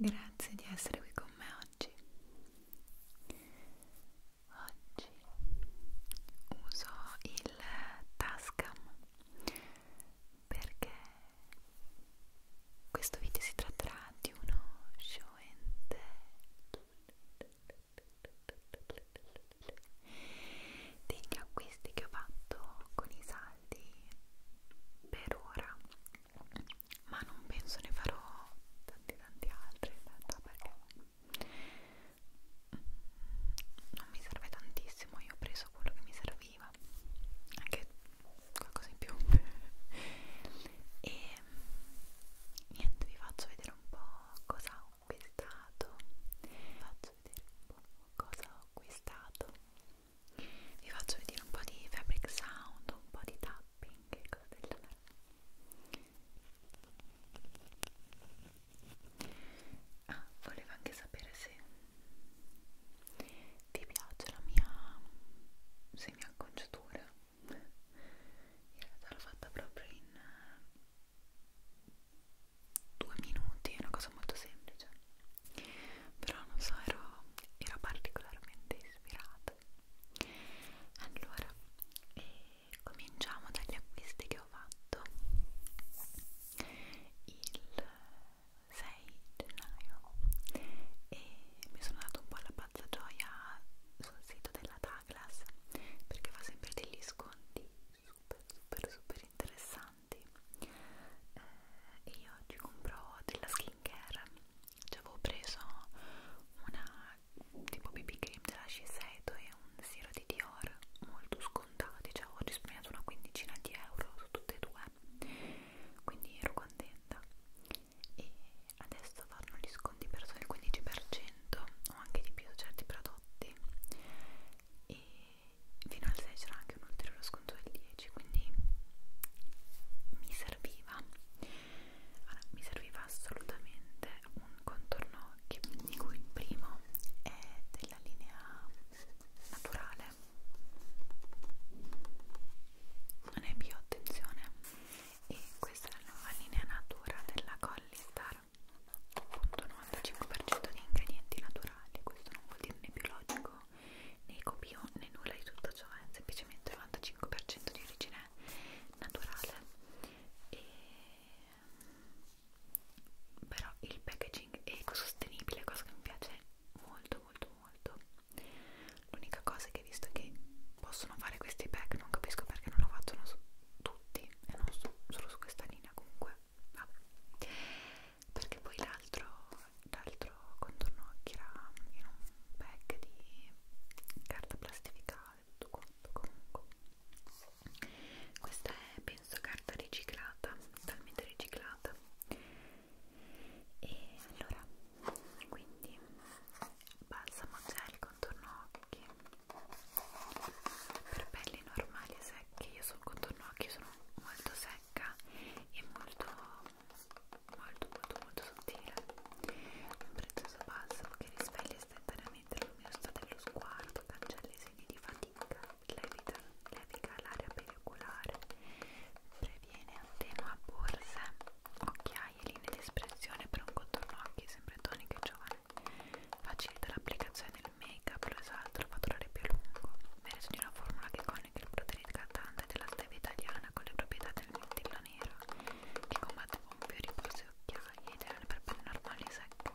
Grazie di essere qui con me oggi. Oggi uso il Tascam perché questo video si tratterà di uno show and degli acquisti che ho fatto con i saldi per ora ma non penso ne farò tanti tanti altri in realtà perché non mi serve tantissimo io ho preso quello che mi serviva anche qualcosa in più e niente vi faccio vedere un po' cosa ho acquistato vi faccio vedere un po' cosa ho acquistato vi faccio vedere un po' di fabric sound un po' di tap shopping e cose del genere ah, volevo anche sapere se ti piace la mia semi acconciatura in realtà l'ho fatta proprio in eh, due minuti è una cosa molto semplice però non so ero, ero particolarmente ispirata allora eh, cominciamo dagli acquisti che ho fatto il 6 gennaio e mi sono dato un po' la pazza gioia sul sito della Douglas perché fa sempre degli sconti super super super interessanti eh, e io oggi compro della skincare ci avevo preso una tipo BB cream della Shiseido e un siero di Dior molto scontati, cioè ho risparmiato una quindicina di euro su tutte e due quindi ero contenta e adesso fanno gli sconti per solo il 15% o anche di più su certi prodotti e fino al 6 c'era anche un ulteriore sconto del 10 quindi mi serviva allora, mi serviva assolutamente un contorno occhi, di cui il primo è della linea naturale, non è più attenzione, e questa è la nuova linea natura della Collistar, appunto 95% di ingredienti naturali, questo non vuol dire né biologico né copio né nulla di tutto ciò, è semplicemente 95% di origine naturale e mm, però il packaging è ecosostenibile, cosa che mi piace molto molto molto l'unica cosa che visto che possono fare questi pack non capisco perché non lo facciano su tutti e non su, solo su questa linea comunque vabbè perché poi l'altro l'altro contorno era in un pack di carta plastificata tutto quanto comunque questa è penso carta riciclata talmente riciclata e allora quindi balsamo gel contorno occhi per pelli normali e secche io sul contorno occhi sono molto secca e molto molto molto molto sottile un prezioso balsamo che risveglia istantaneamente la luminosità dello sguardo cancella i segni di fatica levita, levica l'area periculare previene attenua borse occhiaie linee di espressione per un contorno occhi sempre tonico e giovane facilita l'applicazione del make up lo esalta esatto, lo fa durare più a lungo merito di una formula che iconico il Broderick cantante della stella italiana con le proprietà del mirtillo nero che combatte con fiori, pose e occhiaie ed erano per pelle normali secche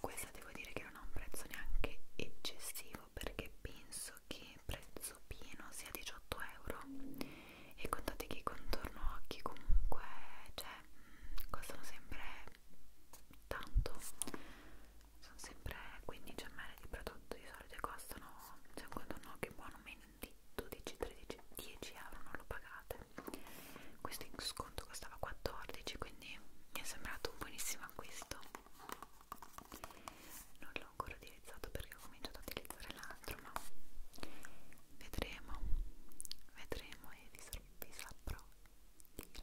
questa devo dire che non ha un prezzo neanche eccessivo perché penso che prezzo pieno sia 18 euro e contate che i contorno occhi comunque cioè, mm, costano sempre tanto sono sempre 15 ml di prodotto di solito costano secondo no che buono meno di 12 13 10 euro non lo pagate questo in sconto costava 14 quindi mi è sembrato un buonissimo acquisto non l'ho ancora utilizzato perché ho cominciato a utilizzare l'altro ma vedremo vedremo e vi, vi saprò dire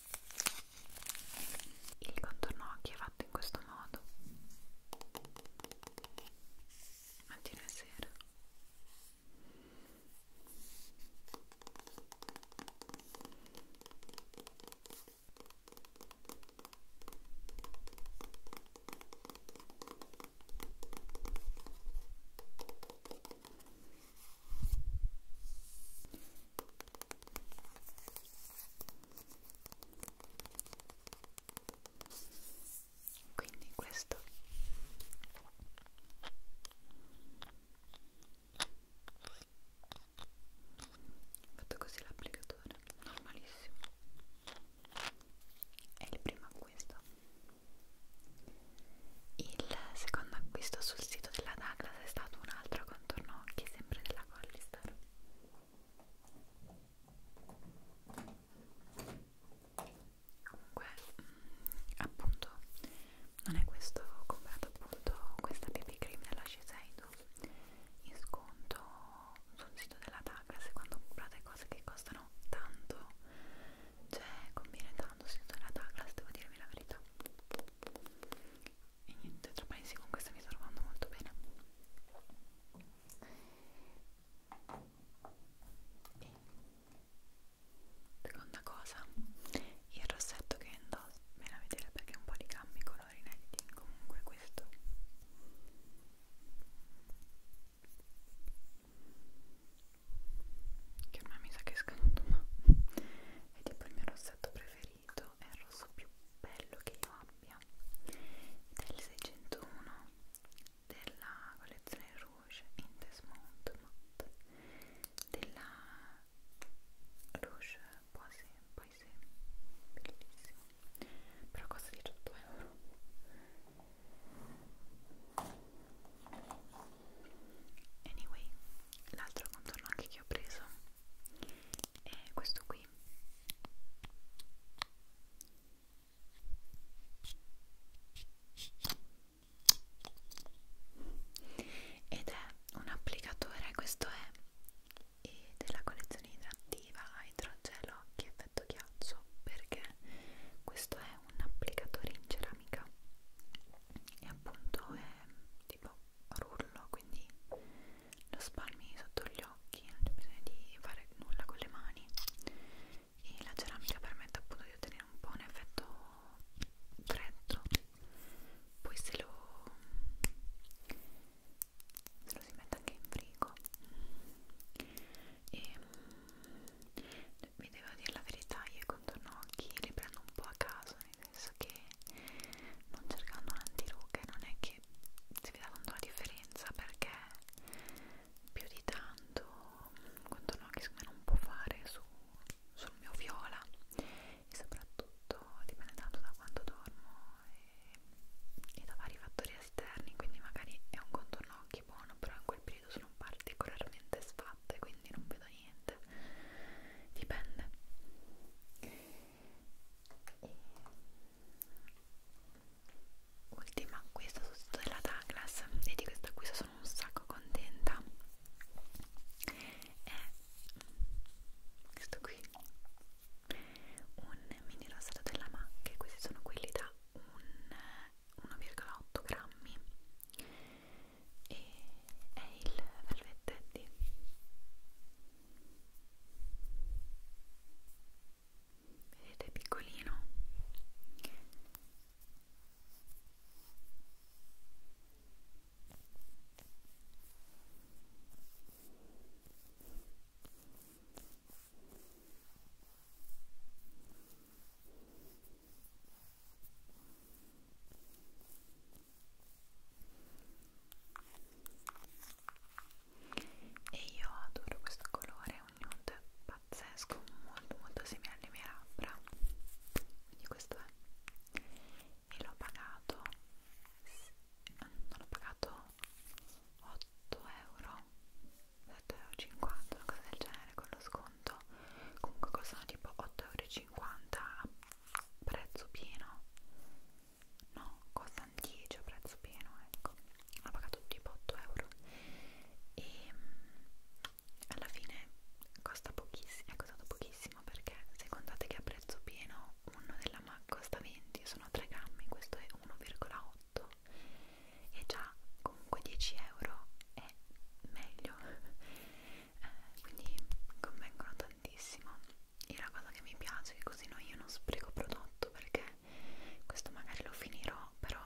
Il contorno occhi è fatto in questo modo. Mattina e sera quindi questo fatto così l'applicatore normalissimo è il primo acquisto il secondo acquisto sul sito della Douglas è stato un altro contorno occhi, sempre della Collistar. Comunque, mm, appunto, non è questo, ho comprato appunto questa BB cream della Shiseido in sconto sul sito della Douglas quando comprate cose che costano tanto, cioè conviene tanto sul sito della Douglas, devo dirvi la verità e niente, tra paesi con questa mi sto trovando molto bene e seconda cosa il rossetto che indosso me la vedere perché un po' di cambi colori inediti comunque questo che ormai mi sa che è scaduto ma è tipo il mio rossetto preferito è il rosso più bello che io abbia ed è il 601 della collezione Rouge in Desmond Matte della Rouge Poise Poise bellissimo però costa 18 euro anyway l'altro contorno anche che ho preso è questo qui ed è un applicatore questo è della collezione idrattiva idrogelo che effetto ghiaccio perché questo è un applicatore in cera dinamica e appunto è tipo rullo quindi lo spalmi sotto gli occhi non c'è bisogno di fare nulla con le mani e la ceramica permette appunto di ottenere un po' un effetto freddo poi se lo se lo si mette anche in frigo e mm, vi devo dire la verità io i contorno occhi li prendo un po' a caso persone penso che non cercando un antirughe non è che si veda tanto la differenza perché più di tanto contorno che secondo me non può fare su, sul mio viola e soprattutto dipende tanto da quanto dormo e, e da vari fattori esterni quindi magari è un contorno occhi buono però in quel periodo sono particolarmente sfatta e quindi non vedo niente niente dipende e... ultima acquisto sul sito della Douglas e di questo acquisto sono un sacco contenta è questo qui un mini rossetto della MAC questi sono quelli da 1,8 grammi e è il Velvet Teddy vedete è piccolino e e io adoro questo colore è un nude pazzesco molto molto simile alle mie labbra quindi questo è e l'ho pagato non l'ho pagato 8 euro 7,50 euro, una cosa del genere con lo sconto conto comunque costano tipo 8,50€ a prezzo pieno no, costano 10 a prezzo pieno ecco ho pagato tipo 8€ e mm, alla fine costa pochissimo è costato pochissimo perché se contate che a prezzo pieno uno della MAC costa 20 sono 3 grammi questo è 1,8 e già comunque 10 euro è meglio eh, quindi convengono tantissimo e la cosa che mi piace è che così no, io non spreco prodotto perché questo magari lo finirò però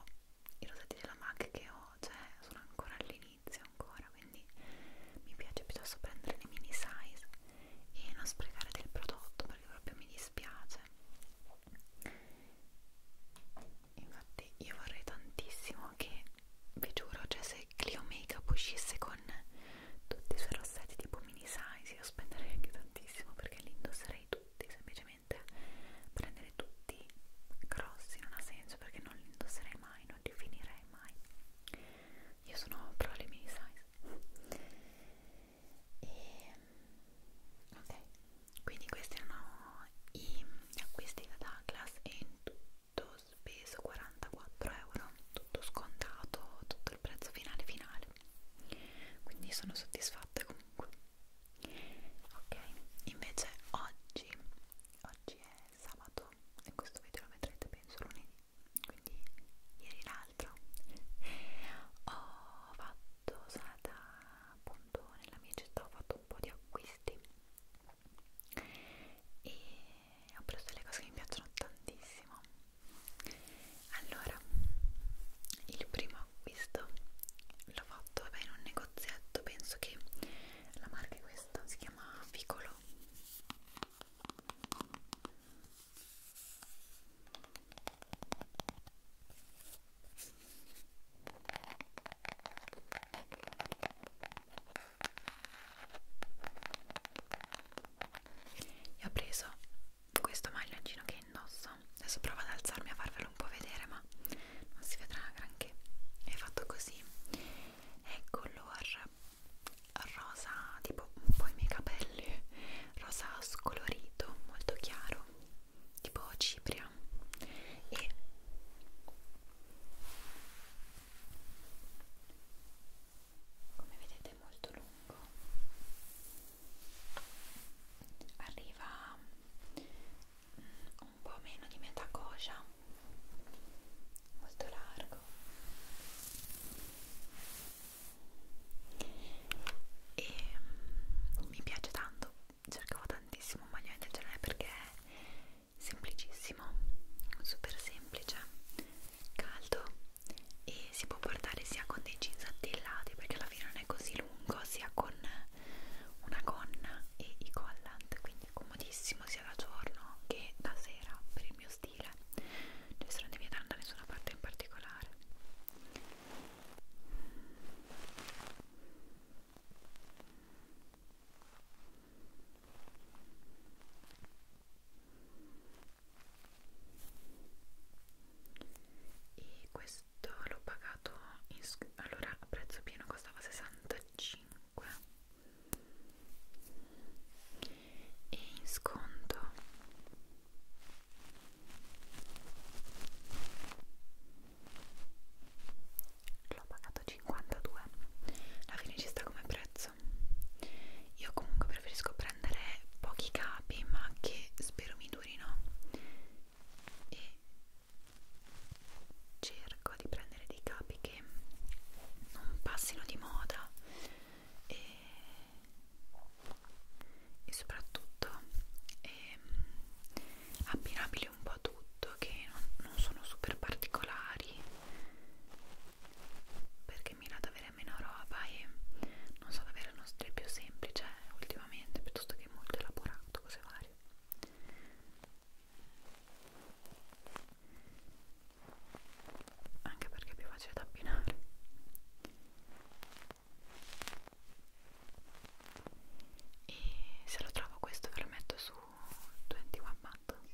i rosati della MAC che ho cioè, sono ancora all'inizio ancora quindi mi piace piuttosto prendere le mini size e non sprecare del prodotto perché proprio mi dispiace infatti io vorrei tantissimo che vi giuro cioè se Clio Makeup uscisse con tutti i suoi rossetti tipo mini size io spenderei anche tantissimo perché li indosserei tutti semplicemente prendere tutti grossi non ha senso perché non li indosserei mai non li finirei mai io sono pro le mini size e ok quindi questi erano i acquisti da Douglas e in tutti speso 44 euro tutto scontato tutto il prezzo finale finale quindi sono soddisfatta comunque ok invece oggi oggi è sabato e questo video lo vedrete penso lunedì quindi ieri l'altro ho fatto sono andata appunto nella mia città ho fatto un po' di acquisti e ho preso delle cose che mi piacciono tantissimo allora il primo acquisto l'ho fatto vabbè, in un negozietto penso che la marca è questa si chiama Vicolo e ho preso questo maglioncino che indosso adesso provo ad alzarmi a farvelo un po' vedere ma non si vedrà granché è fatto così è color rosa tipo un po' i miei capelli rosa scolorito molto chiaro tipo cipria e come vedete è molto lungo arriva mm, un po' meno di metà coscia molto largo e mm, mi piace tanto cercavo tantissimo un maglione del genere perché semplicissimo super semplice caldo e si può portare sia con dei jeans attillati perché alla fine non è così lungo sia con una gonna e i collant quindi è comodissimo sia da giorno che da sera per il mio stile cioè non devi andare da nessuna parte in particolare e questo l'ho pagato in, allora a prezzo pieno costava 65 e in sconto l'ho pagato 52 alla fine ci sta come prezzo io comunque preferisco prendere pochi capi ma che spero mi durino e cerco di prendere dei capi che non passino di moda e, e soprattutto e, ehm, abbinabili un po' po' tutto che non, non sono super particolari perché mira ad avere meno roba e non so ad avere uno stile più semplice ultimamente piuttosto che molto elaborato cose varie anche perché è più facile da abbinare e se lo trovo questo ve lo metto su 21 Buttons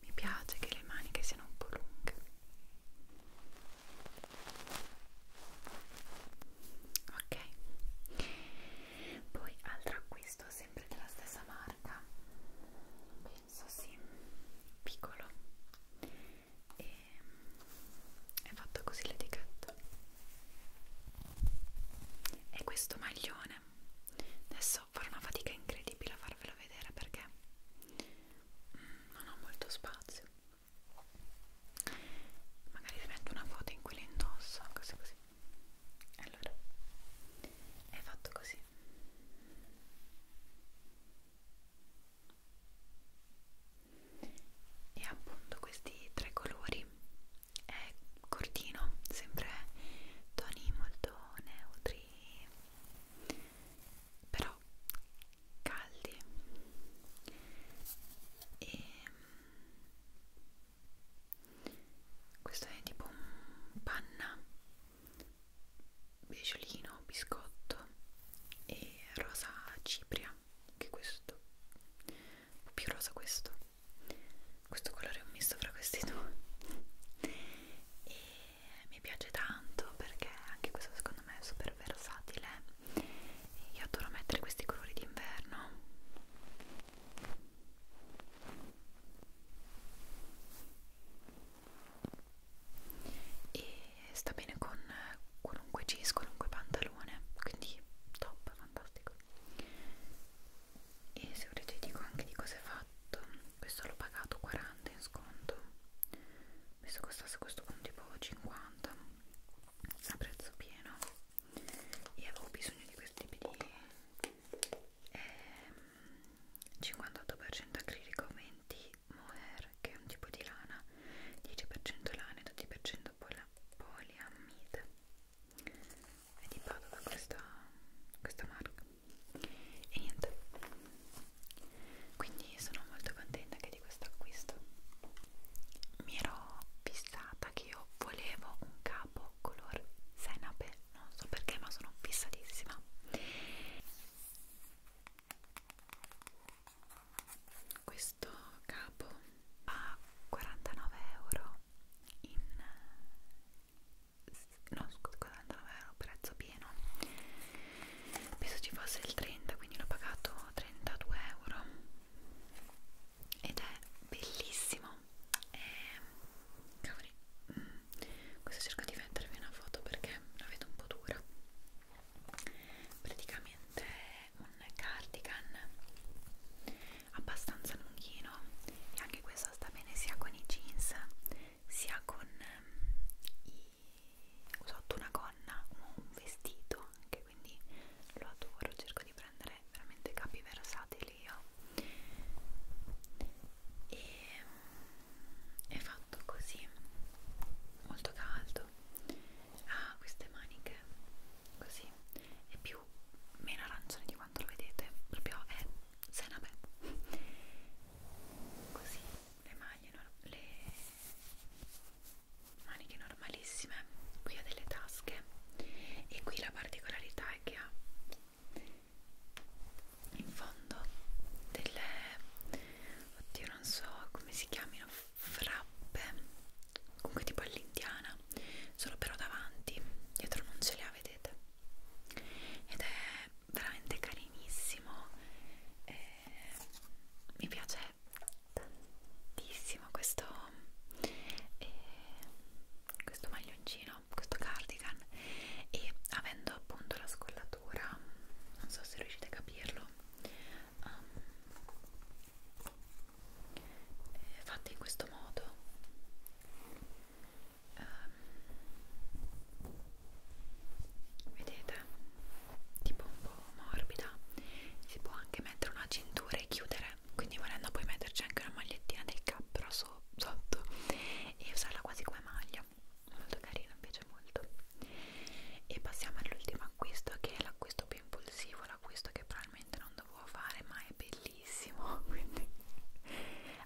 mi piace che le maniche siano un po' lunghe. Ok. Poi altro acquisto sempre della stessa marca. Penso sì, piccolo e ehm, è fatta così l'etichetta e questo maglione adesso farò una fatica incredibile a farvelo vedere perché mm, non ho molto spazio magari vi metto una foto in cui lo indosso così così allora è fatto così e appunto questi tre colori è cortino sempre toni molto neutri però caldi e mm, questo è tipo un panna Biciolino, biscotto e rosa cipria anche questo un po' più rosa questo questo colore è un misto fra questi due e mi piace tanto perché anche questo secondo me è super versatile io adoro mettere questi colori d'inverno e sta bene con qualunque jeans, qualunque pantalone, quindi top, fantastico. E se volete dico anche di cosa è fatto, questo l'ho pagato 40 in sconto, penso costasse questo con tipo 50 a prezzo pieno e avevo bisogno di questi tipi di ehm, 58% acrilico, 20 mohair che è un tipo di lana 10% lana e 12% poliammide è di Padova questa, questa marca e niente quindi sono molto contenta anche di questo acquisto mi ero fissata che io volevo un capo color senape non so perché ma sono fissatissima questo capo a 49 euro in no scusa 49 euro prezzo pieno penso ci fosse il 30 quindi l'ho pagato 32 euro ed è bellissimo e cavoli mm. questo cerco di vendervi una foto perché la vedo un po' dura praticamente è un cardigan abbastanza lunghino e anche questo sta bene sia con i jeans sia con um, i sotto una gonna o un vestito anche quindi lo adoro cerco di prendere veramente capi versatili io e um, è fatto così molto caldo ha ah, queste maniche così è più meno arancione di quanto lo vedete proprio è senape così le maglie le maniche normalissime qui ha delle tasche e qui la particolarità è che ha in fondo delle oddio non so come si chiamino frappe comunque tipo all'indiana solo però davanti dietro non ce le ha vedete ed è veramente carinissimo e mi piace tantissimo questo eh, questo maglioncino questo cardigan e avendo appunto la scollatura non so se riuscite a capirlo um, ehm, fatte in questo modo um, vedete tipo un po' morbida si può anche mettere una cintura e chiudere quindi volendo poi metterci anche una magliettina del capro so sotto e usarla quasi come maglia molto carino, mi piace molto e passiamo all'ultimo acquisto che è l'acquisto più impulsivo l'acquisto che probabilmente non dovevo fare ma è bellissimo quindi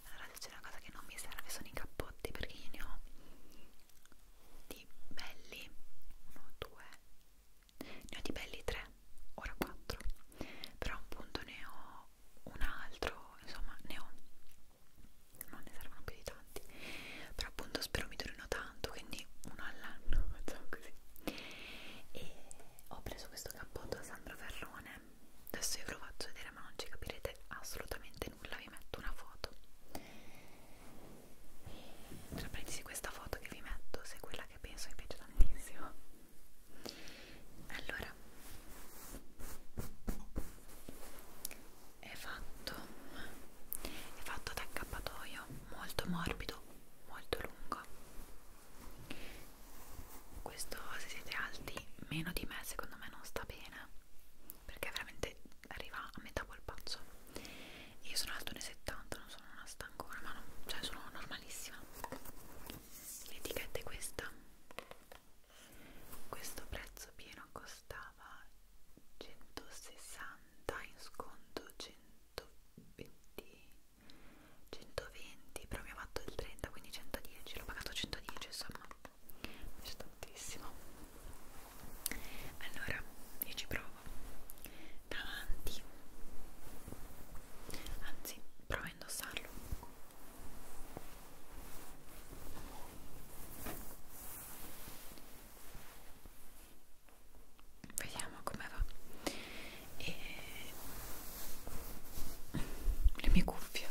allora c'è una cosa che non mi serve sono i cappotti perché io ne ho di belli 1, 2 ne ho di belli 3 ora 4 però appunto ne ho un altro insomma ne ho non ne saranno più di tanti però appunto spero mi durino tanto quindi uno all'anno facciamo così e ho preso questo cappotto da Sandro Ferrone adesso io ve lo faccio vedere ma non ci capirete assolutamente nulla vi metto una foto tra parentesi questa foto che vi metto se quella che penso vi piace tantissimo allora è fatto è fatto da accappatoio molto morbido molto lungo questo se siete alti meno di me secondo me non sta bene perché veramente arriva a metà polpaccio io sono alto 1,70 non sono una stancona ma no, cioè sono normalissima l'etichetta è questa questo prezzo pieno costava 160 in sconto 120 120 però mi ha fatto il 30 quindi 110 l'ho pagato 110 insomma è tantissimo allora io ci provo davanti anzi provo a indossarlo vediamo come va e le mie cuffie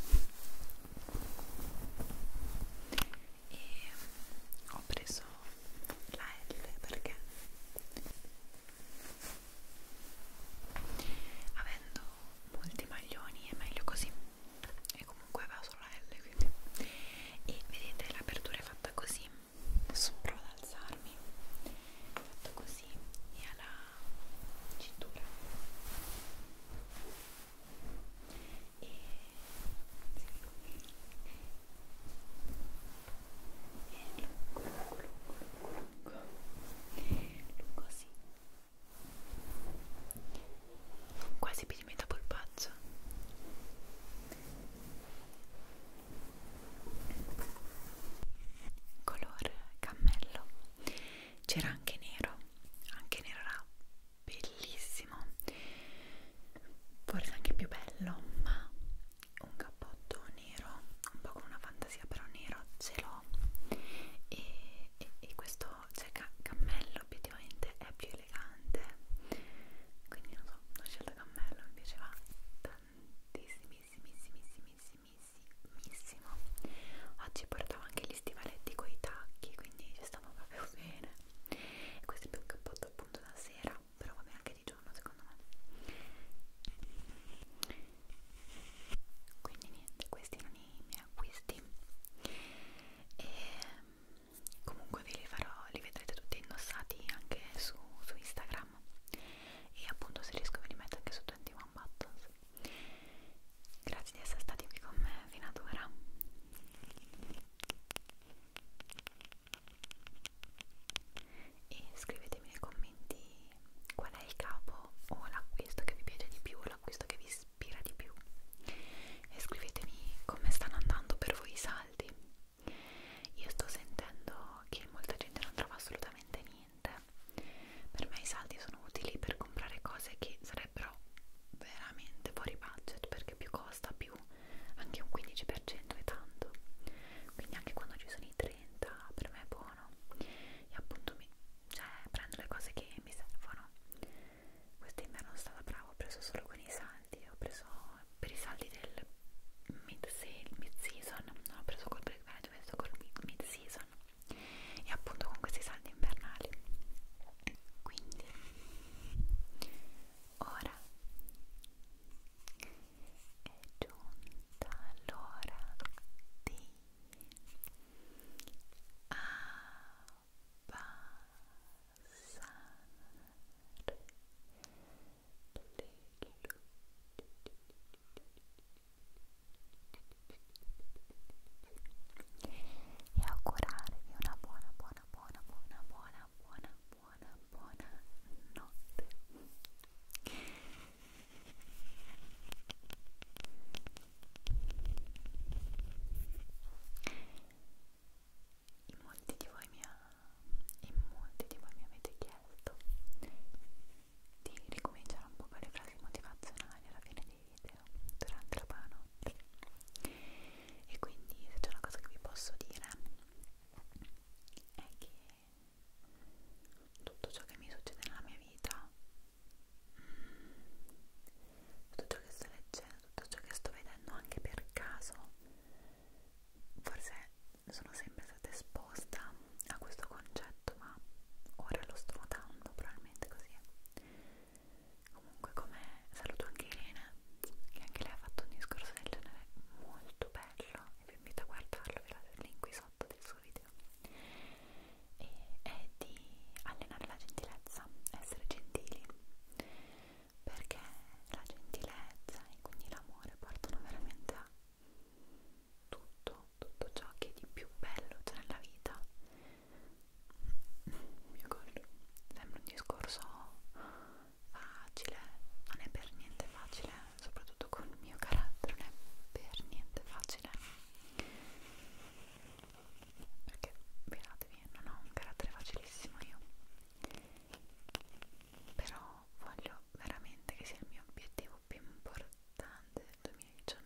e ho preso la L perché avendo molti maglioni è meglio così e comunque aveva solo la L quindi e vedete l'apertura è fatta così adesso provo ad alzarmi è fatto così e ha la cintura e sì. è lungo lungo lungo lungo lungo sì quasi più di metà polpaccio color cammello c'era anche nero anche nero era bellissimo forse anche più bello ma un cappotto nero un po' con una fantasia però nero ce l'ho e, e, e questo cioè ca cammello obiettivamente è più elegante quindi non so, ho scelto cammello, mi piaceva tantissimissimissimissimissimissimo oggi portavo anche gli stivaletti con i tacchi quindi ci stavo proprio bene e questo è più un cappotto appunto da sera però va bene anche di giorno secondo me quindi niente, questi erano i miei acquisti e comunque ve li farò, li vedrete tutti indossati anche su, su Instagram e appunto se riesco ve li metto anche su 21 Buttons grazie di essere stati qui con me fino ad ora e scrivetemi nei commenti qual è il capo o l'acquisto che vi piace di più l'acquisto che vi ispira di più e scrivetemi come stanno andando per voi i saldi io sto sentendo che molta gente non trova assolutamente niente per me i saldi sono utili per comprare cose che sarebbero veramente fuori budget perché più costa più anche un 15% è tanto quindi anche quando ci sono i 30 per me è buono e appunto mi, cioè, prendo le cose che mi servono quest'inverno sono stata brava, ho preso solo con i saldi, ho preso per i saldi del mid-season, mid non ho preso col break management, ho preso col mid-season e appunto con questi saldi invernali. Quindi, ora è giunta l'ora di... Ah, e augurarvi una buona, buona, buona, buona, buona, buona, buona, buona notte. In molti di voi mi, ha, in molti di voi mi avete chiesto di ricominciare un po' con le frasi motivazionali alla fine dei video durante la panotte e quindi se c'è una cosa che vi posso dire è che tutto ciò che mi succede nella mia vita tutto ciò che sto leggendo, tutto ciò che sto vedendo anche per caso, forse sono sempre stata esposta a questo concetto, ma ora lo sto notando, probabilmente così è. Comunque come saluto anche Irene, che anche lei ha fatto un discorso del genere molto bello e vi invito a guardarlo, vi lascio il link qui sotto del suo video. E è di allenare la gentilezza bassa essere gentili perché la gentilezza e quindi l'amore portano veramente a tutto, tutto ciò che è di più bello c'è nella vita mio collo sembra un discorso facile ma non è per niente facile soprattutto con il mio carattere non è per niente facile perché vedatevi non ho un carattere facilissimo io però voglio veramente che sia il mio obiettivo più importante del 2019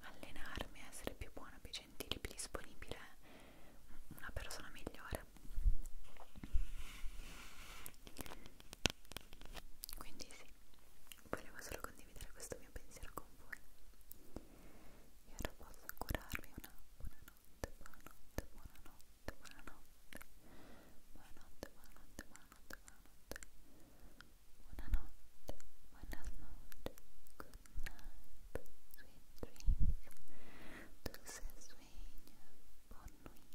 allenarmi essere più buona, più gentile, più disponibile una persona migliore quindi sì volevo solo condividere questo mio pensiero con voi io ora posso curarvi una buonanotte, buonanotte, buonanotte, buonanotte, buonanotte, buonanotte, buonanotte, buonanotte, buonanotte, good night, sweet dreams, dulce sueño, buon nuit,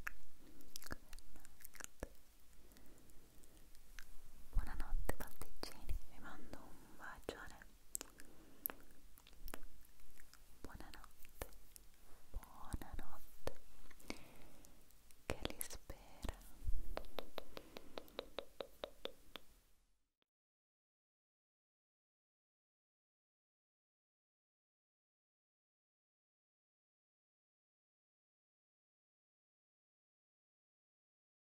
good night. Buonanotte pasticcini, vi mando un bacione Buonanotte, buonanotte, che li spera.